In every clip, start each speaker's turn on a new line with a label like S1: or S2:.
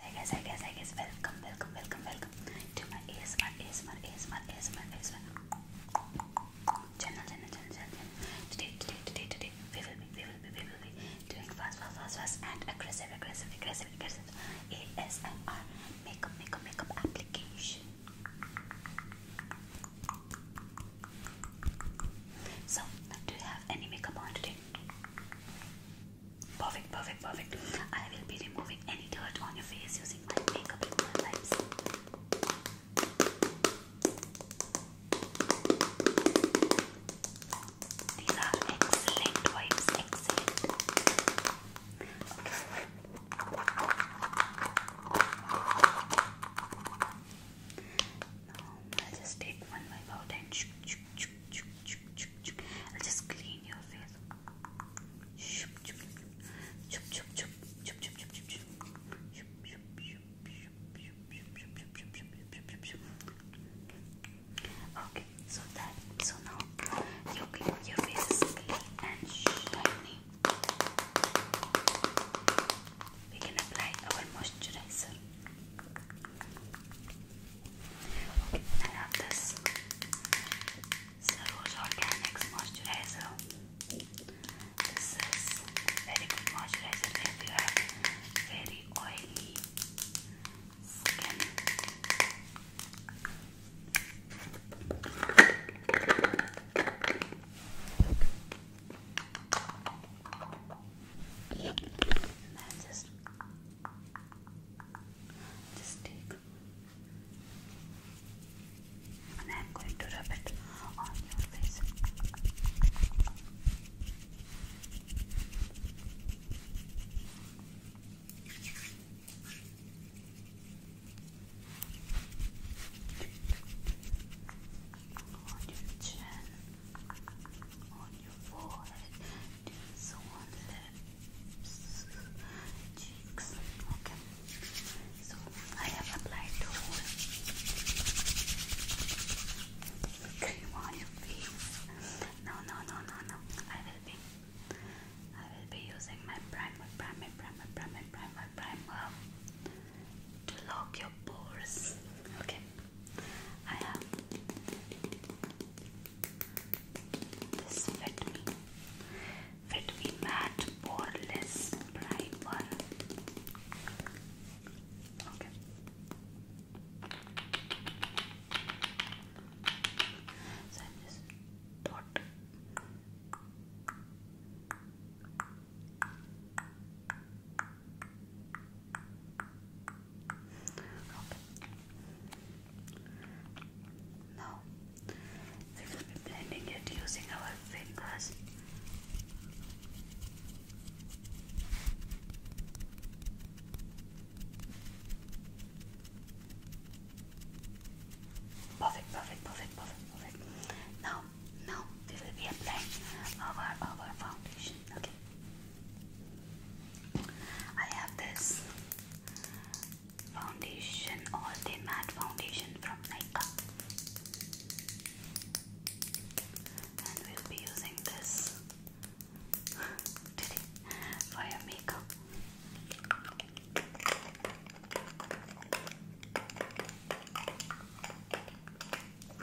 S1: Hi guys, hi guys, hi guys, welcome, welcome, welcome, welcome to my ASMR, ASMR, ASMR, ASMR, ASMR channel, channel, channel, channel. Today, today, today, today, we will be, we will be, we will be doing fast, fast, fast, fast and aggressive, aggressive, aggressive, aggressive ASMR makeup, makeup, makeup application. So, do you have any makeup on today? Perfect, perfect, perfect. I will be removing any dirt on your face using my makeup wipes. These are excellent wipes, excellent. Now I'll just take one wipe out and shoo, shoo, shoo, shoo. I'll just clean your face. Okay, so that so now your your face is clean and shiny. We can apply our moisturizer. I love this Cerose Organics Moisturizer. This is very good moisturizer if you have very oily skin. And then just just take and I'm going to rub it on your face. On your chin on your forehead, so on lips, cheeks. Okay. So I have applied the whole cream on your face. No, no, no, no, no. I will be, I will be using my primer, primer, primer, primer, primer, primer to lock your pores. Okay. I have this Fit Me, Fit Me Matte Poreless Primer. So I just dot. Okay. Now we will be blending it using our fingers. Perfect, perfect, perfect, perfect, perfect. Now, now we will be applying our our foundation. Okay. I have this foundation or the matte foundation from Nika. And we'll be using this today for your makeup.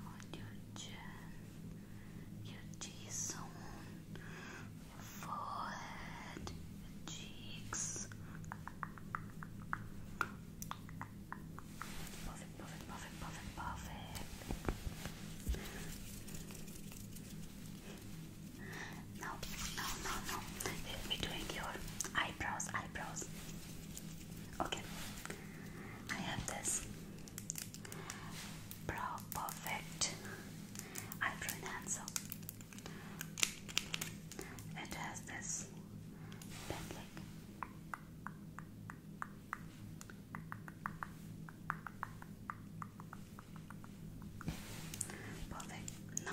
S1: on your chin, your t your forehead, your cheeks. Perfect, perfect, perfect, perfect, perfect. Now, now, now, now. We'll be doing your eyebrows, eyebrows. Okay, I have this Brow Perfect Eyebrow Enhancer. It has this Perfect. Now,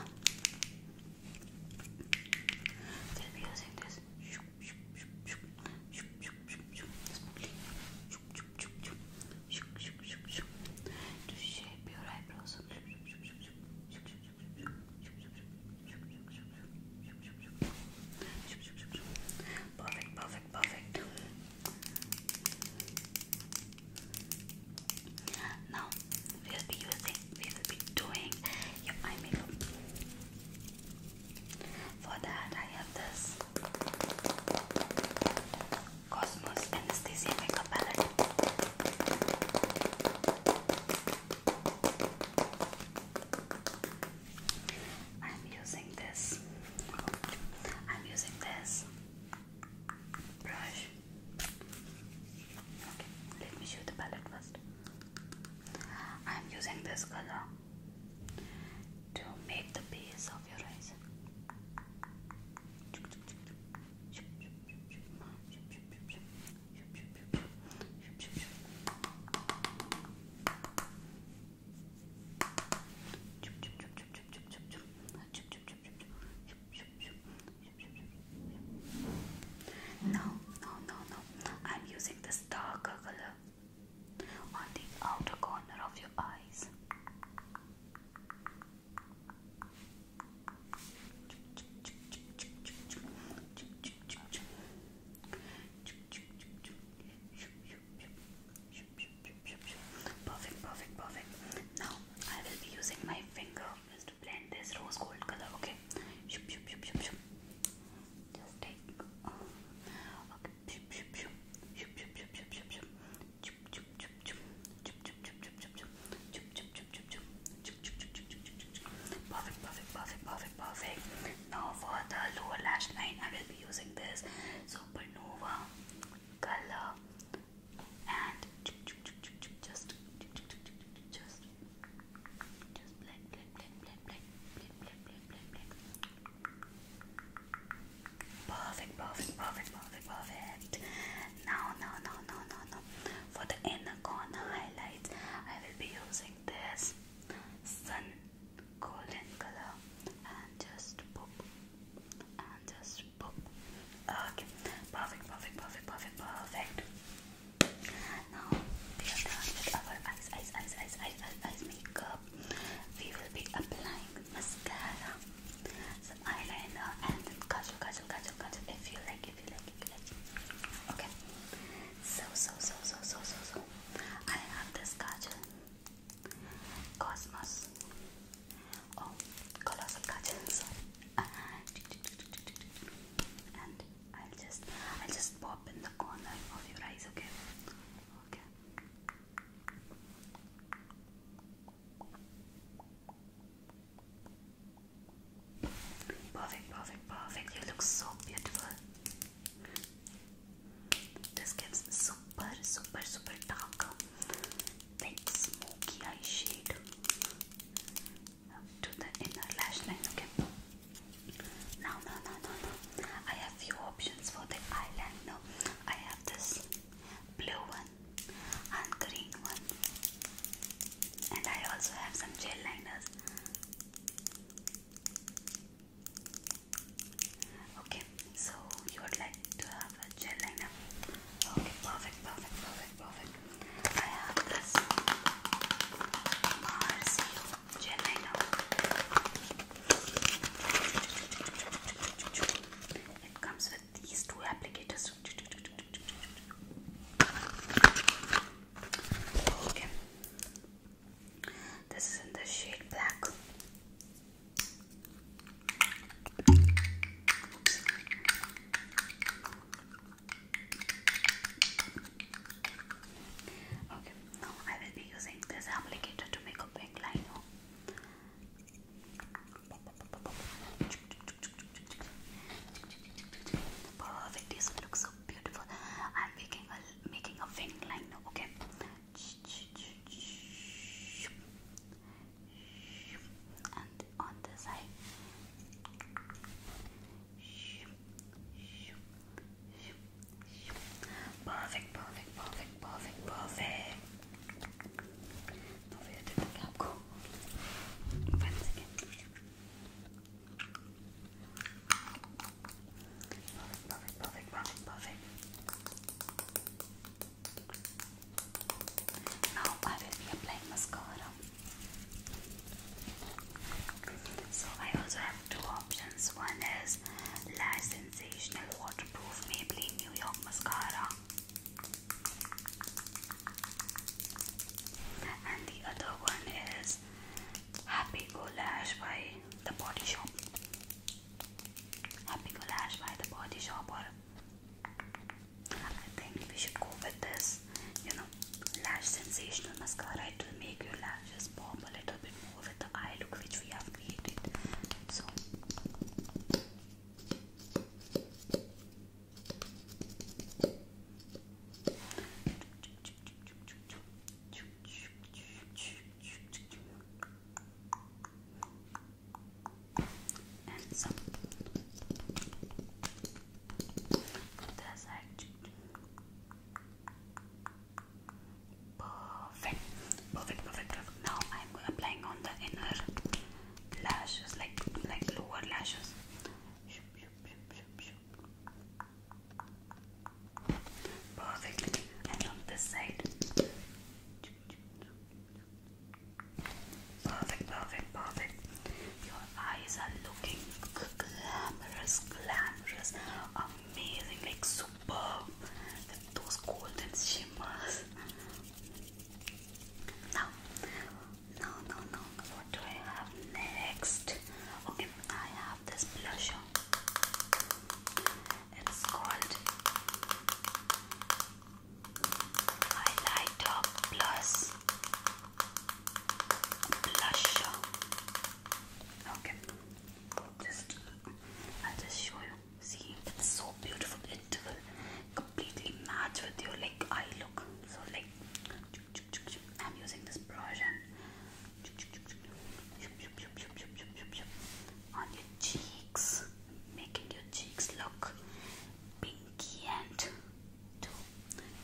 S1: they'll be using this to shape your eyebrows. Perfect, perfect, perfect. Now we'll be using we will be doing your eye makeup. For that, I have this Cosmos Anesthesia Makeup Palette. I'm using this. I'm using this brush. Okay, let me show the palette first. I am using this color to make the base of your eyes. No, no, no, no. I'm using the darker color on the outer corner of your eyes. Perfect, perfect, perfect. Now I will be using my finger is to blend this rose gold color. Okay, shoop, shoop, shoop, shoop, shoop. just take. Okay, shoop, shoop, shoop, shoop, shoop, shoop, shoop, shoop, shoop, shoop, shoop, shoop, Perfect, perfect, perfect, perfect, perfect. Now for the lower lash line, I will be using this Supernova color and just, just Perfect, perfect, perfect, perfect, perfect. Now, now, now, now, now, now. For the inner corner highlights, I will be using this sun golden color and just pop and just pop. Okay, perfect, perfect, perfect, perfect, perfect. Now we are with our eyes, eyes, eyes, eyes, eyes, eyes, makeup. We will be applying mascara, some eyeliner, and kajal, kajal, kajal, kajal. If you like, if you like, if you like. Okay. So, so, so, so, so, so, I have this kajal, Cosmos. Oh, colossal kajal. And I'll just I'll just pop in the corner of your eyes, okay? Perfect, perfect, perfect. You look so beautiful. This gives super, super, super dark, thick, smoky eye shade to the inner lash line. Okay. Now, no, no, no, no. I have few options for the eyeliner. I have this blue one and green one,
S2: and I also have some gel liners.
S1: Okay, so you would like to have a gel liner? Okay, perfect, perfect, perfect, perfect this It comes with these two applicators. This is in the shade black. Okay, now I will be using this applicator to make a big liner. Perfect, this looks so beautiful. I'm making a making a wing liner. Okay. And on the side. Perfect, perfect, perfect, perfect, perfect. Now I will be mascara. So I also have two options. One is Lash Sensational Waterproof Maybelline New York Mascara. And the other one is Happy Go Lash by The Body Shop. Happy Go by The Body Shop or I think we should go with this, you know, lash sensational mascara. It will make your lashes pop a little bit more with the eye look which we have created. So, and some other side. Perfect. perfect, perfect, perfect. Now I'm applying on the inner lashes, like like lower lashes. Perfect. And on this side. Perfect, perfect, perfect. Your eyes are looking glamorous, glamorous, amazing, like super. those golden shimmers. Now, no, no, no. What do I have next? Okay, I have this blusher. It's called highlighter plus blusher. Okay, just i just show you. See, it's so beautiful. It will completely match with your like eye look. So like, I'm using this brush and on your cheeks, making your cheeks look pinky and to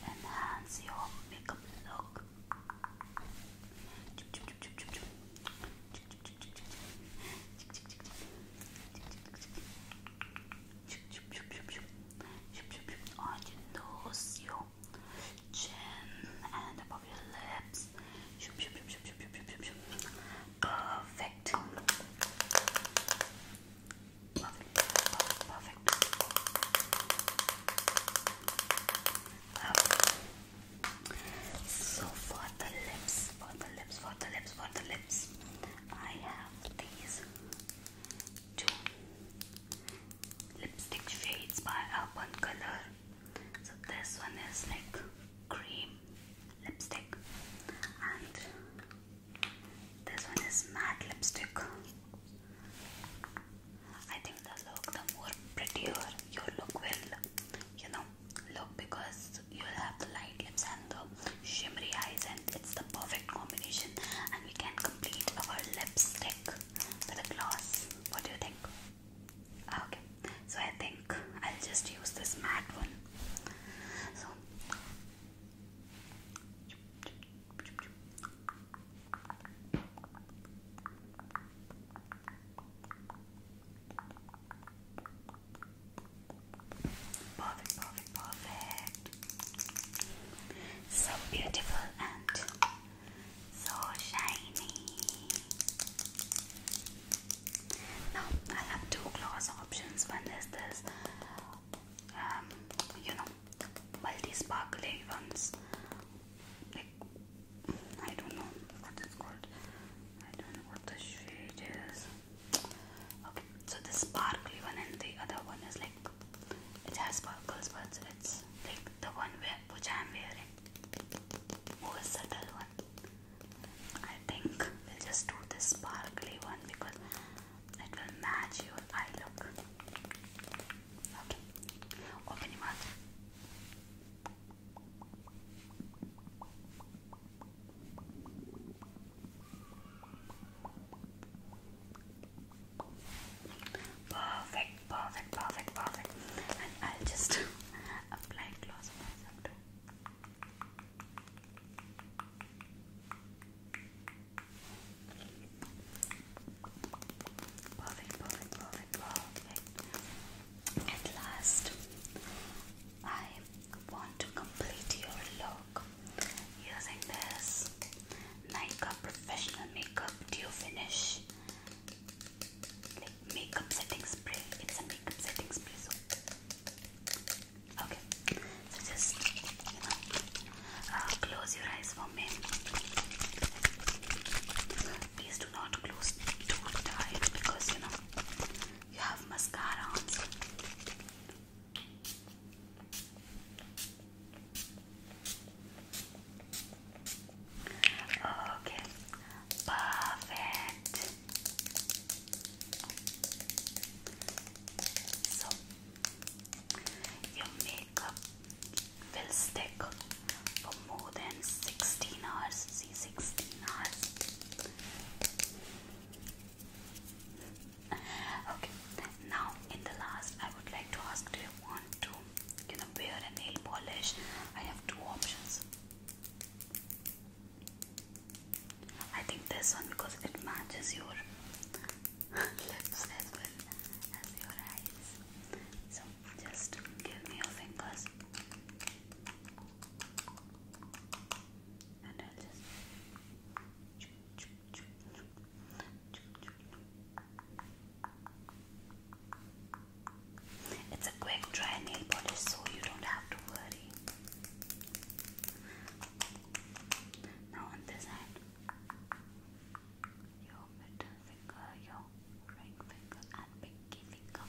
S1: enhance your makeup look. On your nose, your chin, and above your lips. Perfect. Perfect. Perfect. So for the lips, for the lips, for the lips, for the lips, I have these two lipstick shades by Urban Color. So this one is like cream lipstick and this one is matte lipstick I think the look the more prettier your look will you know look because you'll have the light lips and the shimmery eyes and it's the perfect combination and we can complete our lipstick with a gloss what do you think? Ah, okay, so I think I'll just use this matte one. So Perfect, perfect, perfect. So beautiful and so shiny. Now I have two gloss options. One is this, um, you know, multi sparkling ones. Like I don't know what it's called. I don't know what the shade is. so this sparkly one and the other one is like it has sparkles, but it's like the one where which I'm wearing. Who is the one? I think we'll just do this sparkly one because it will match your eye look. Okay, open your mouth. Perfect, perfect, perfect, perfect. And I'll just apply gloss myself too. Perfect, perfect, perfect, perfect. At last, I want to complete your look using this Nykaa Professional Makeup Dew Finish like makeup setting spray. It's a makeup setting spray, just uh, close your eyes for me. Please do not close too tight because you know you have mascara Okay, perfect your makeup will stick for more than 16 hours. See 16 hours. Okay, now in the last I would like to ask do you want to you know wear a nail polish? I have two options. I think this one because it matches your lips as well as your eyes. So just give me your fingers and I'll It's a quick dry nail polish, so you don't have to worry body. Now on this hand, your middle finger, your ring finger, and pinky finger.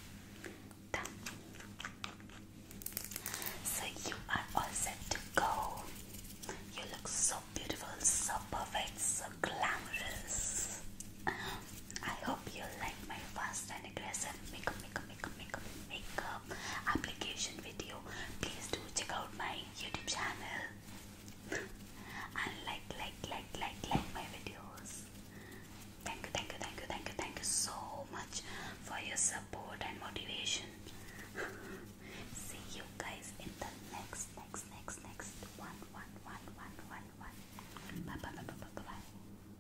S1: So you are all set to go. You look so beautiful, so perfect, so glamorous. I hope you like my fast and aggressive makeup, makeup, makeup, makeup, application video, please do check out my YouTube channel and like, like, like, like, like my videos. Thank you, thank you, thank you, thank you, thank you so much for your support and motivation. See you guys in the next, next, next, next one, one, one, one, one, one. Bye, bye, bye, bye, bye. bye.